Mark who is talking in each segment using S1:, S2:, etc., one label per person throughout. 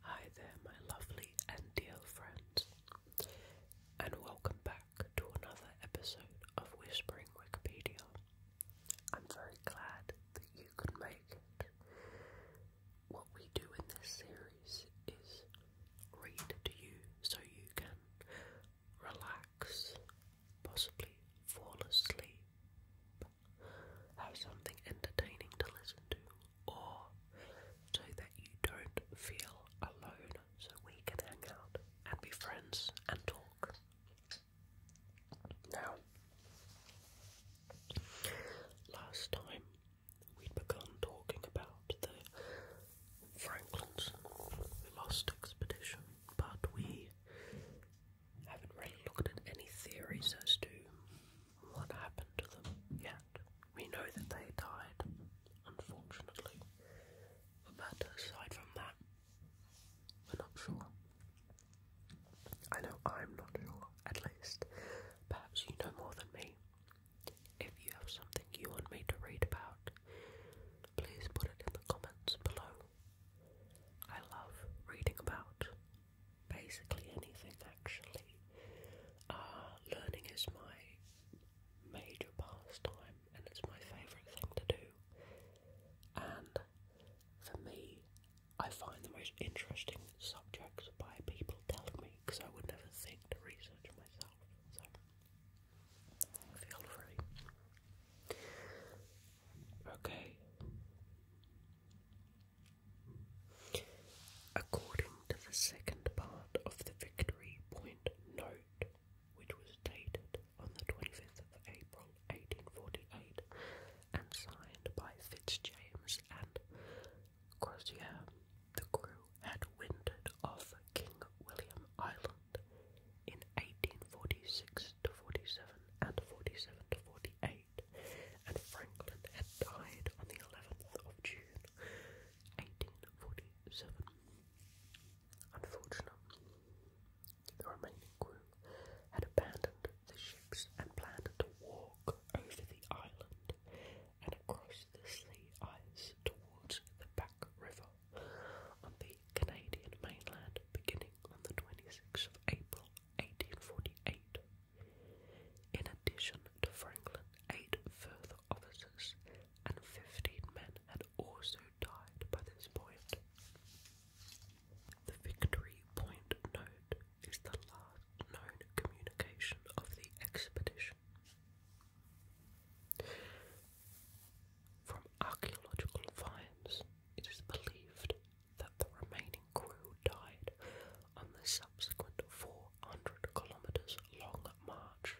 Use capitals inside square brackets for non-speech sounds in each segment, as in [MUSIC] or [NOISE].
S1: Hi there, my lovely and dear friends, and welcome back to another episode of Whispering Wikipedia. I'm very glad that you could make it what we do in this series is read to you so you can relax, possibly fall asleep, have something entertaining to listen to, or so that you don't feel alone, so we can hang out and be friends and talk. Now, last time we'd begun talking about the Franklin's Lost Expedition, but we haven't really looked at any theories as to what happened to them yet. We know that they died, unfortunately, but aside from that, we're not sure. I know I'm not sure, at least. Perhaps you know more than me. If you have something you want me to read about, please put it in the comments below. I love reading about basically anything actually. Uh, learning is my major pastime and it's my favourite thing to do. And for me, I find the most interesting subjects by people telling me because I would never think to research myself. So feel free. Okay. According to the second part of the Victory Point Note, which was dated on the 25th of April 1848 and signed by Fitzjames and course, yeah, the crew had winded off King William Island in 1846 to 47 and 47 to 48, and Franklin had died on the 11th of June, 1847. Unfortunately, the remaining crew had abandoned the ships and planned to walk over the island and across the Sea ice towards the Back River on the Canadian mainland beginning on the 26th of April 1848. In addition to Franklin, eight further officers and 15 men had also died by this point. The Victory Point Note is the last known communication of the expedition. From archaeological finds, it is believed that the remaining crew died on the subsequent 400 kilometers long march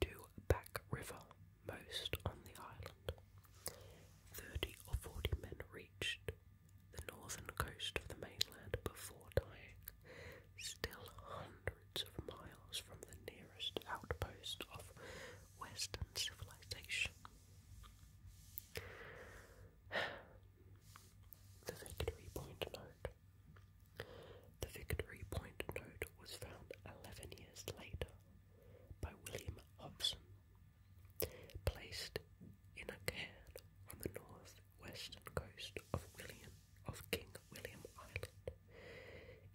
S1: to Back River, most on the island. Thirty or forty men reached the northern coast of the mainland before dying, still hundreds of miles from the nearest outpost of Western civilization. [SIGHS] The Victory Point Note. The Victory Point Note was found 11 years later by William Hobson, placed in a cairn on the north western coast of William of King William Island.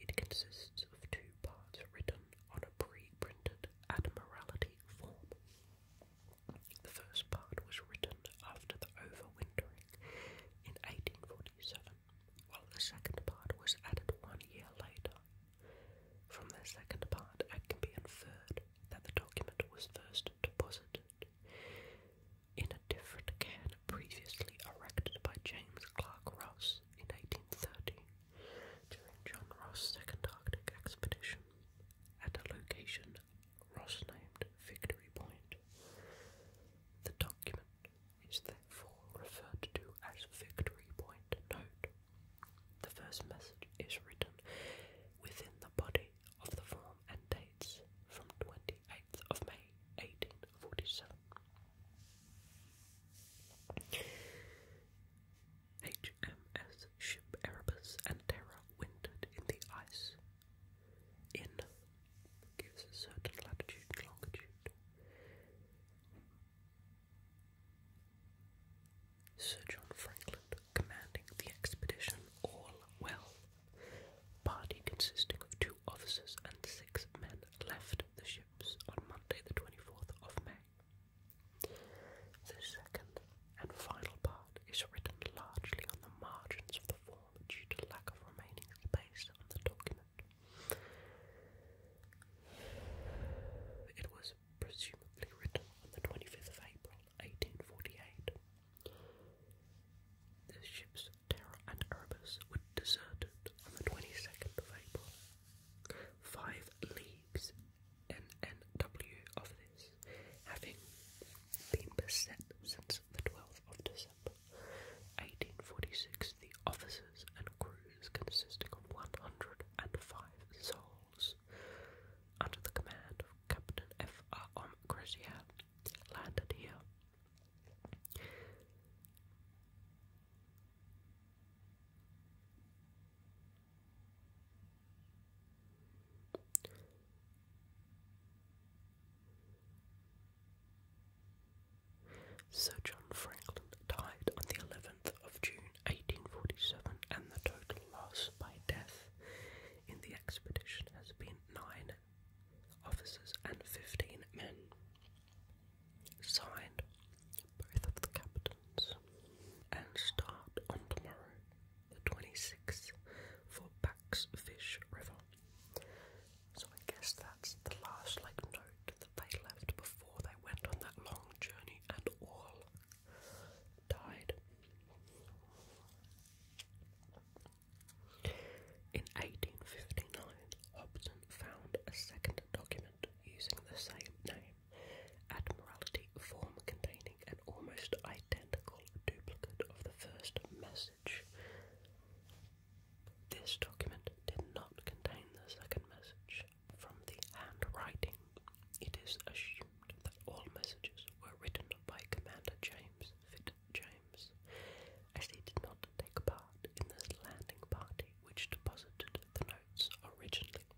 S1: It consists of two parts written on a pre-printed Admiralty form. The first part was written after the overwintering in 1847, while the second part was added one year later. From the second part, it can be inferred that the document was first deposited in a different cairn previously erected by James Clark Ross in 1830 during John Ross's second Arctic expedition at a location Ross named Victory Point. The document is therefore referred to as Victory Point Note. The first message is written within the body copy of the form and dates from 28th of May 1847. HMS Ship Erebus and Terror wintered in the ice. In gives a certain latitude longitude. Sir John Franklin commanding the expedition All Well. Party consisting of two officers and six men left the ships on Monday the 24th of May. The second and final part is written largely on the margins of the form due to lack of remaining space on the document. It was presumably written on the 25th of April 1848. The ships Terror and Erebus were deserted on the 22nd of April. Five leagues NNW of this, having been beset since the 12th of December 1846, the officers and crews consisting of 105 souls under the command of Captain F. R. M. Crozier, landed here. Sir John Franklin died on the 11th of June 1847, and the total loss by death in the expedition has been nine officers and 15 men. Signed, both of the captains. And start on tomorrow, the 26th, for Paxfish River. So I guess that's the last like note that they left before they went on that long journey and all died. In 1859, Hobson found a second document using the same name, Admiralty form containing an almost identical duplicate of the first message. This document did not contain the second message. From the handwriting, it is assumed that all messages were written by Commander James Fitzjames, as he did not take part in the landing party which deposited the notes originally.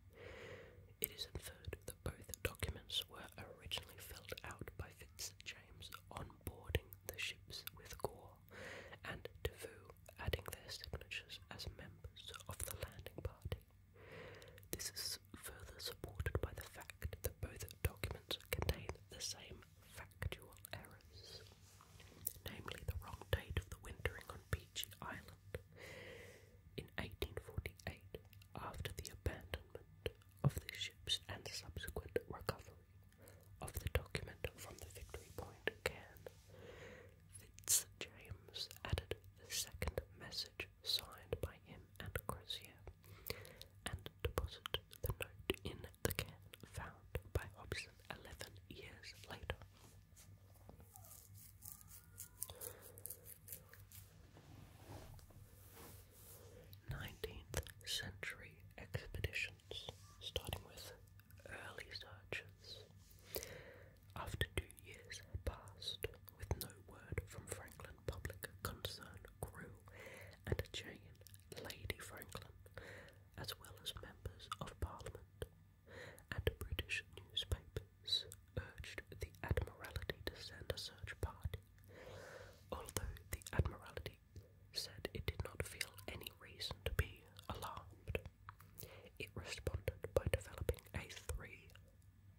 S1: It is inferred that both documents were originally filled out by Fitzjames on boarding the ships with Gore and DeVoe, adding their signatures as members of the landing party. This is further supported by the fact that both documents contain the same factual errors, namely the wrong date of the wintering on Beechey Island. In 1848, after the abandonment of the ships and subsequent recovery of the document from the Victory Point again. Fitzjames added a second message signed by him and Crozier, and deposited the note in the can found by Hobson eleven years later. Nineteenth century expeditions, starting with early searches. After two years passed, with no word from Franklin, public concern grew, and Jane, Lady Franklin, as well as members of Parliament and British newspapers, urged the Admiralty to send a search party. Although the Admiralty said it did not feel any reason to be alarmed, it responded by developing a three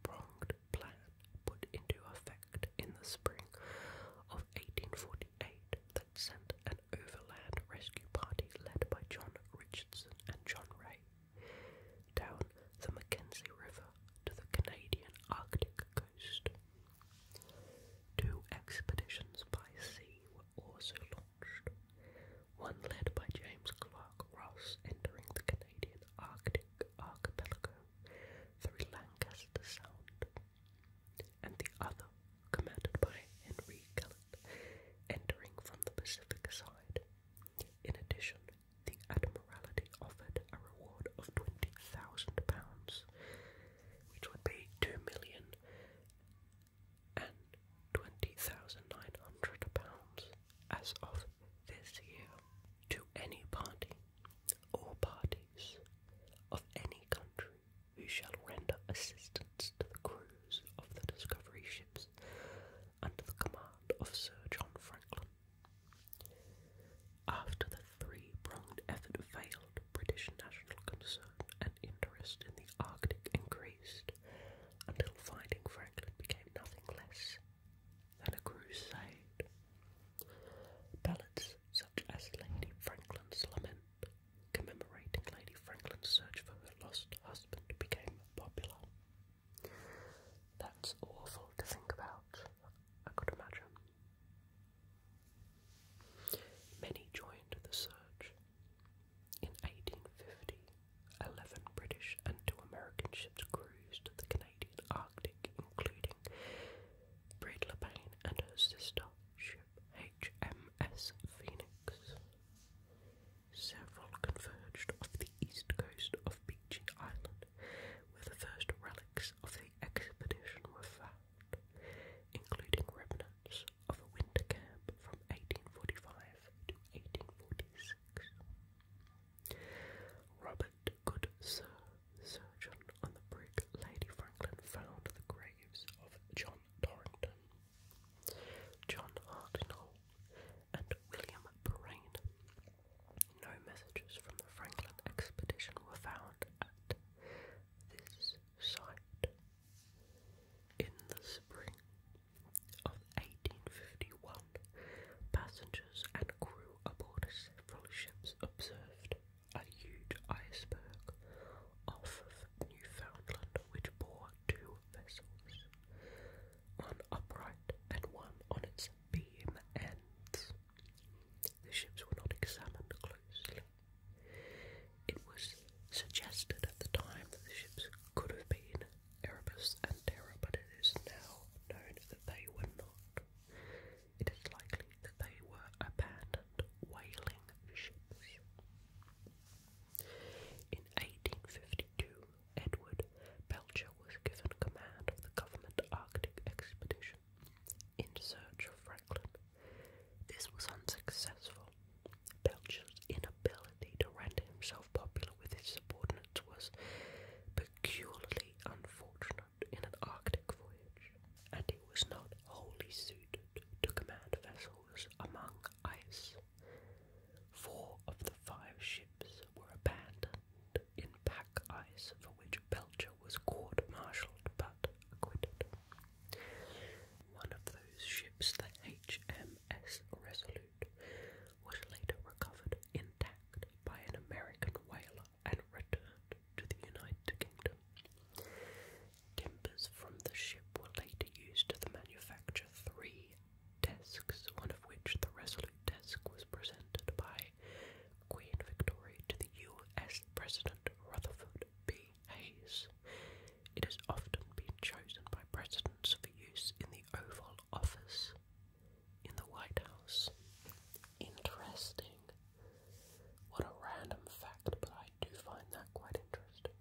S1: pronged plan put into effect in the spring of 1848 that sent an overland rescue party led by John Richardson and John Ray down the Mackenzie River to the Canadian Arctic coast. Two expeditions by sea were also launched one led by James Clark Ross entering the Canadian Arctic archipelago through Lancaster Sound, and the other, commanded by Henry Kellett, entering from the Pacific side. In addition, the Admiralty offered a reward of £20,000, which would be two million and twenty thousand nine hundred pounds as of this year to any party or parties of any country who shall render assistance to the crews of the discovery ships under the command of Sir John Franklin. After the three-pronged effort failed, British national concern and interest in the Arctic increased, until fighting Franklin became nothing less than a crusade. Ballads such as Lady Franklin's Lament, commemorating Lady Franklin's search for her lost husband, became popular. That's awful to think about, I could imagine. Many joined the search. In 1850, Eleven British and two American ships cruised the Canadian Arctic, including Breedla Payne and her sister ship HMS Phoenix. Several converged off the east coast of Beechey Island, where the first relics of the expedition were found, including remnants of a winter camp from 1845 to 1846. Robert Goodsir, surgeon on the brig Lady Franklin, found the graves of John Torrington, John Hartnell, and William Perrine. No messages from the Franklin expedition were found at this site. In the spring of 1851, passengers and crew aboard several ships observed a huge iceberg off of Newfoundland which bore two vessels, one upright and one on its beam end. The ships were not examined closely. It was suggested at the time that the ships could have been Erebus and Terra, but it is now known that they were not. It is likely that they were abandoned whaling ships. In 1852, Edward Belcher was given command of the government Arctic expedition in search of Franklin. This was unsuccessful, Belcher's inability to render himself popular with his subordinates was peculiarly unfortunate in an Arctic voyage, and he was not wholly suited to command vessels among ice. Four of the five ships were abandoned in pack ice for which Belcher was court-martialed but acquitted. One of those ships, the HMS Resolute, was later recovered intact by an American whaler and returned to the United Kingdom. Timbers from the ship were later used to manufacture three desks, one of which, the Resolute desk, was presented by Queen Victoria to the U.S. President Rutherford B. It has often been chosen by presidents for use in the Oval Office, in the White House. Interesting. What a random fact, but I do find that quite interesting.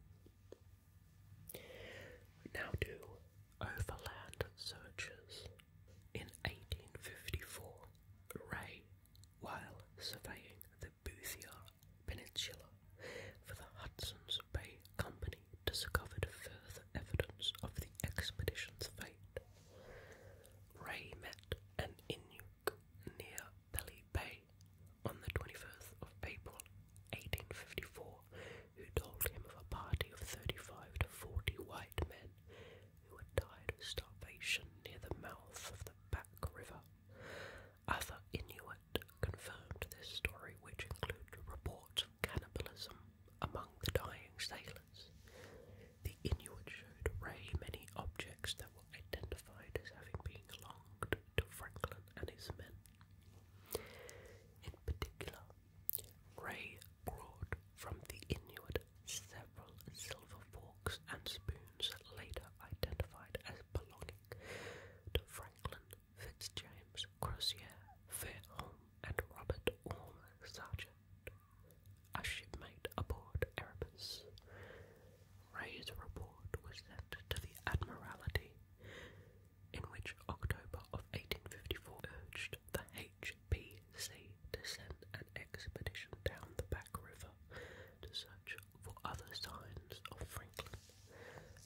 S1: now do overland searches. In 1854, Ray, while surveying the Boothia Peninsula for the Hudson's Bay Company discovered further evidence of the expedition's fate. Ray met an Inuk near Belly Bay on the 21st of April 1854, who told him of a party of 35 to 40 white men who had died of starvation near the mouth of the Back River. Other Inuit confirmed this story, which included reports of cannibalism among the dying sailors. The Inuit showed Ray many objects that were identified as having belonged to Franklin and his men. In particular, Ray brought from the Inuit several silver forks and spoons later identified as belonging to Franklin Fitzjames Crozier, Fairholm, and Robert Orme Sargent, a shipmate aboard Erebus. Ray's report was sent to the Admiralty, in which October of 1854 urged the HPC to send an expedition down the back river to search for other signs of Franklin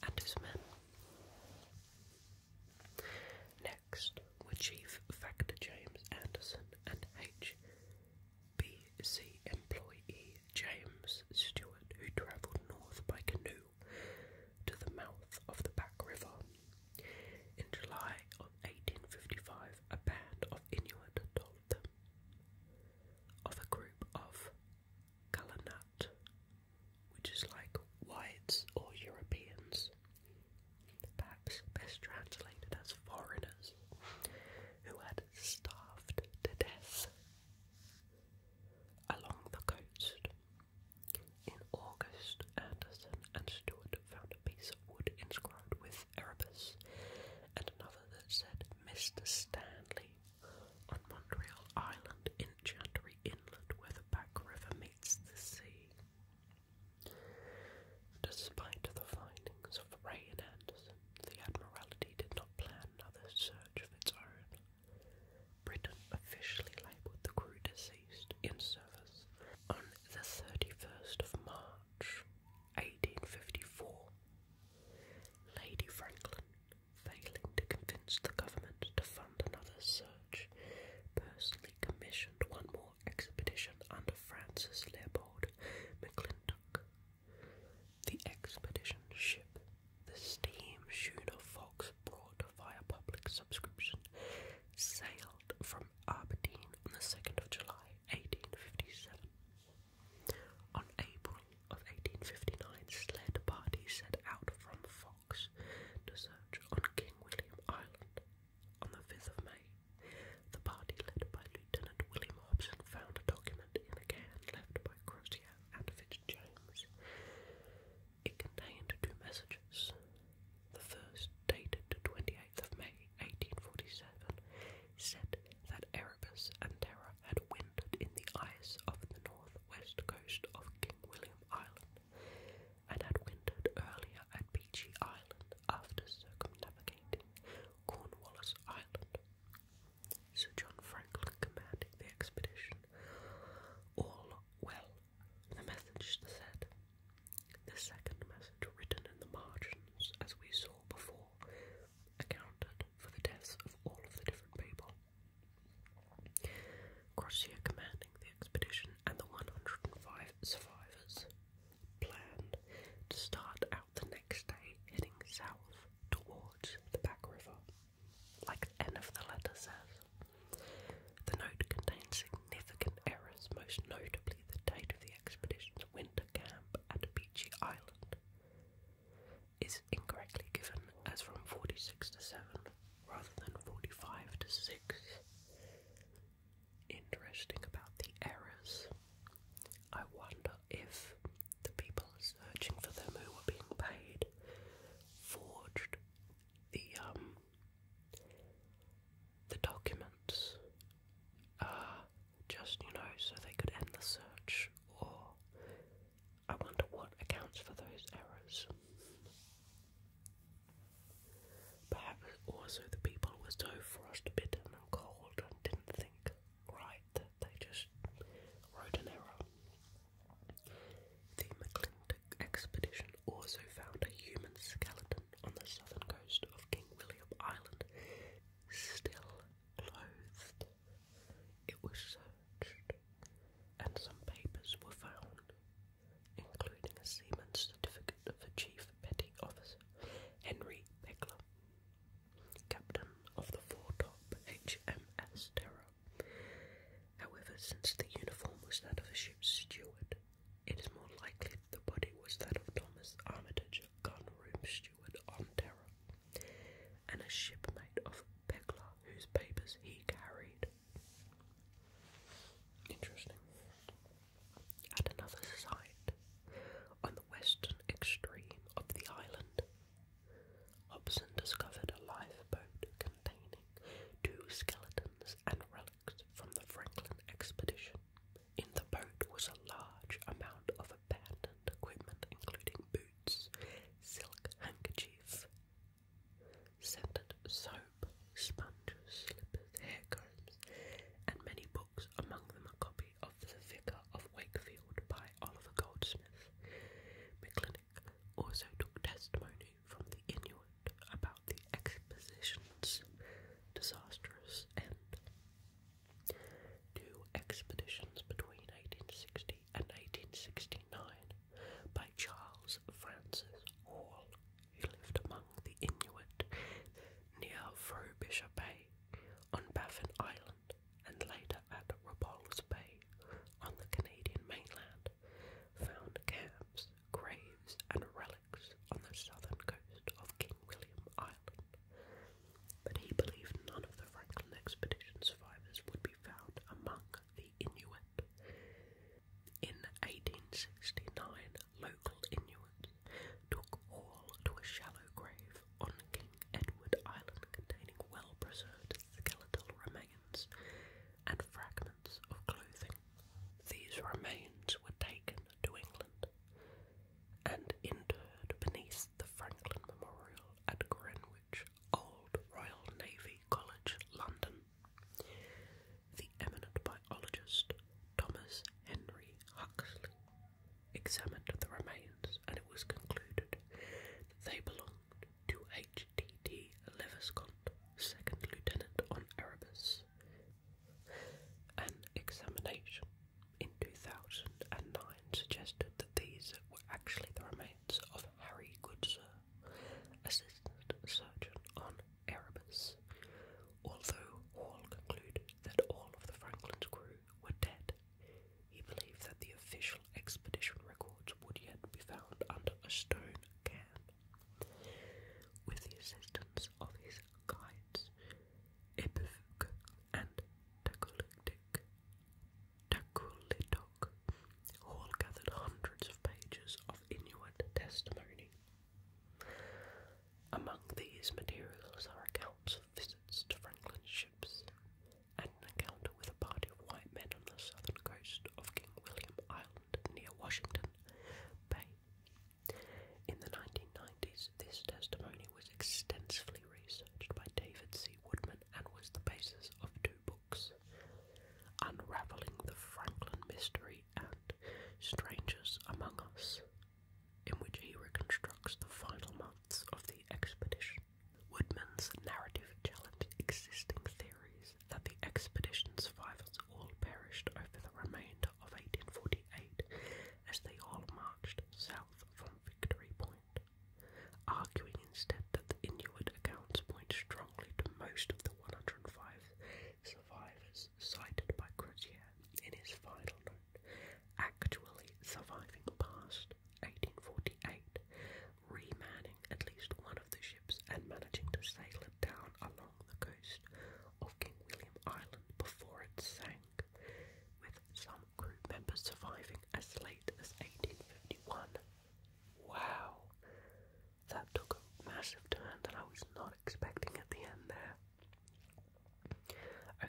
S1: and his men. Next were Chief Factor James Anderson and H.B.C. employee James Stewart, who travelled north by canoe to the mouth of the Back River. In July of 1855, a band of Inuit told them of a group of Kalanat, which is like whites or Europeans, perhaps best translated as foreigners, who had starved to death along the coast. In August, Anderson and Stewart found a piece of wood inscribed with Erebus and another that said, Mr. Stanley on Montreal Island in Chantry Inlet, where the Back River meets the sea. Despite the findings of Ray and Anderson, the Admiralty did not plan another search of its own. Britain officially labelled the crew deceased in service on the 31st of March, 1854. Lady Franklin, failing to convince the government to fund another search, personally commissioned one more expedition under Francis Leopold McClintock. The expedition ship, the steam schooner Fox, brought via public subscription, sailed from Aberdeen on the 2nd of July 1857. On April of 1859, sled parties set out from Fox to search on King William Island. On the 5th of May, the party led by Lieutenant William Hobson found a document in a can left by Crozier and Fitzjames. It contained two messages. The first, dated the 28th of May 1847, said that Erebus and Terror had wintered in the ice of the northwest coast of King William Island, and had wintered earlier at Beechey Island after circumnavigating Cornwallis Island. Sir John Franklin commanding the expedition. All well, the message said. The second message written in the margins, as we saw before, accounted for the deaths of all of the different people. Crozier, commanding the expedition, and the 105 survivors planned to start out the next day heading south towards the back river, like the end of the letter says. The note contains significant errors, most notably the date of the expedition's winter camp up at Beachy Island is incorrectly given as from 46 to 7 rather than 45 to 6. Interesting about the errors. I wonder if the people searching for them who were being paid forged the um the documents. Uh, just, you know, so they could end the search, or I wonder what accounts for those errors. Perhaps also the people were so frostbitten and cold and didn't think right that they just wrote an error. The McClintock expedition also found a human skeleton on the southern coast of King William Island still clothed. It was searched, and some papers were found, including a seaman's certificate of the Chief Petty Officer, Henry Pegler, captain of the foretop HMS Terror. However, since the uniform was that of a ship's steward, it is more likely that the body was that of Thomas Armitage, gun room on Terra, and a shipmate of Pegler whose papers he carried. Interesting. At another site, on the western extreme of the island, Hobson discovered a lifeboat containing two skeletons and relics from the Franklin expedition. In the boat was a large amount of abandoned equipment, including boots, silk handkerchief, scented soap, sponges, slippers, hair combs, and many books, among them a copy of The Vicar of Wakefield by Oliver Goldsmith. McClinic also took testimony from the Inuit about the exposition's disastrous end. Two expeditions between 1860 and 1869 by Charles Francis Hall, who lived among the Inuit near Frobisher Bay on Baffin Island and later at Repulse Bay on the Canadian mainland, found camps, graves, and relics on the southern coast of King William Island, but he believed none of the Franklin expedition survivors would be found among the Inuit. In 1869, local Inuits took all to a shallow grave on King Edward Island containing well preserved skeletal remains and fragments of clothing. These remains were taken to England and interred beneath the Franklin Memorial at Greenwich Old Royal Navy College, London. The eminent biologist Thomas Henry Huxley examined the remains and it was concluded that they belonged to H. D. T. Leviscott, second lieutenant on Erebus, an examination in 2009 suggested that these were actually the remains of Harry Goodsir, assistant surgeon on Erebus, although Hall concluded that all of the Franklin's crew were dead. He believed that the official expedition records would yet be found under a stone cairn. With the assistance of his guides, Ibufuku and Takulitic, Takulitok, all gathered hundreds of pages of Inuit testimony. Among these materials are accounts of visits to Franklin's ships and an encounter with a party of white men on the southern coast of King William Island near Washington Bay in the 1990s, this testimony was extensively researched by David C. Woodman and was the basis of two books Unraveling the Franklin Mystery and Strangers Among Us, in which he reconstructs the final months of the expedition. Woodman's narrative challenged existing theories that the expedition's survivors all perished over the remains of 1848 as they all marched south from Victory Point, arguing instead that the Inuit accounts point strongly to most of the 105 survivors cited by Crozier in his final note actually surviving past 1848, remanning at least one of the ships and managing to sail it down alive the coast of King William Island before it sank, with some crew members surviving as late as 1851. Wow! That took a massive turn that I was not expecting at the end there.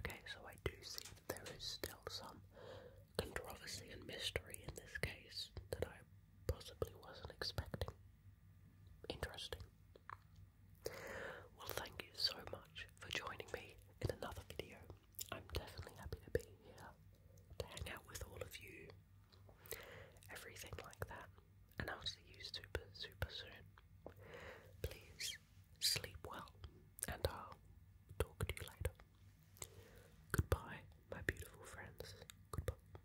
S1: Okay, so I do see that there is still some controversy and mystery in this case that I possibly wasn't expecting. Interesting. Well, thank you so much for joining me in another video. I'm definitely happy to be here, to hang out with all of you, everything like that. And I'll see you super, super soon. Please sleep well, and I'll talk to you later. Goodbye, my beautiful friends. Goodbye.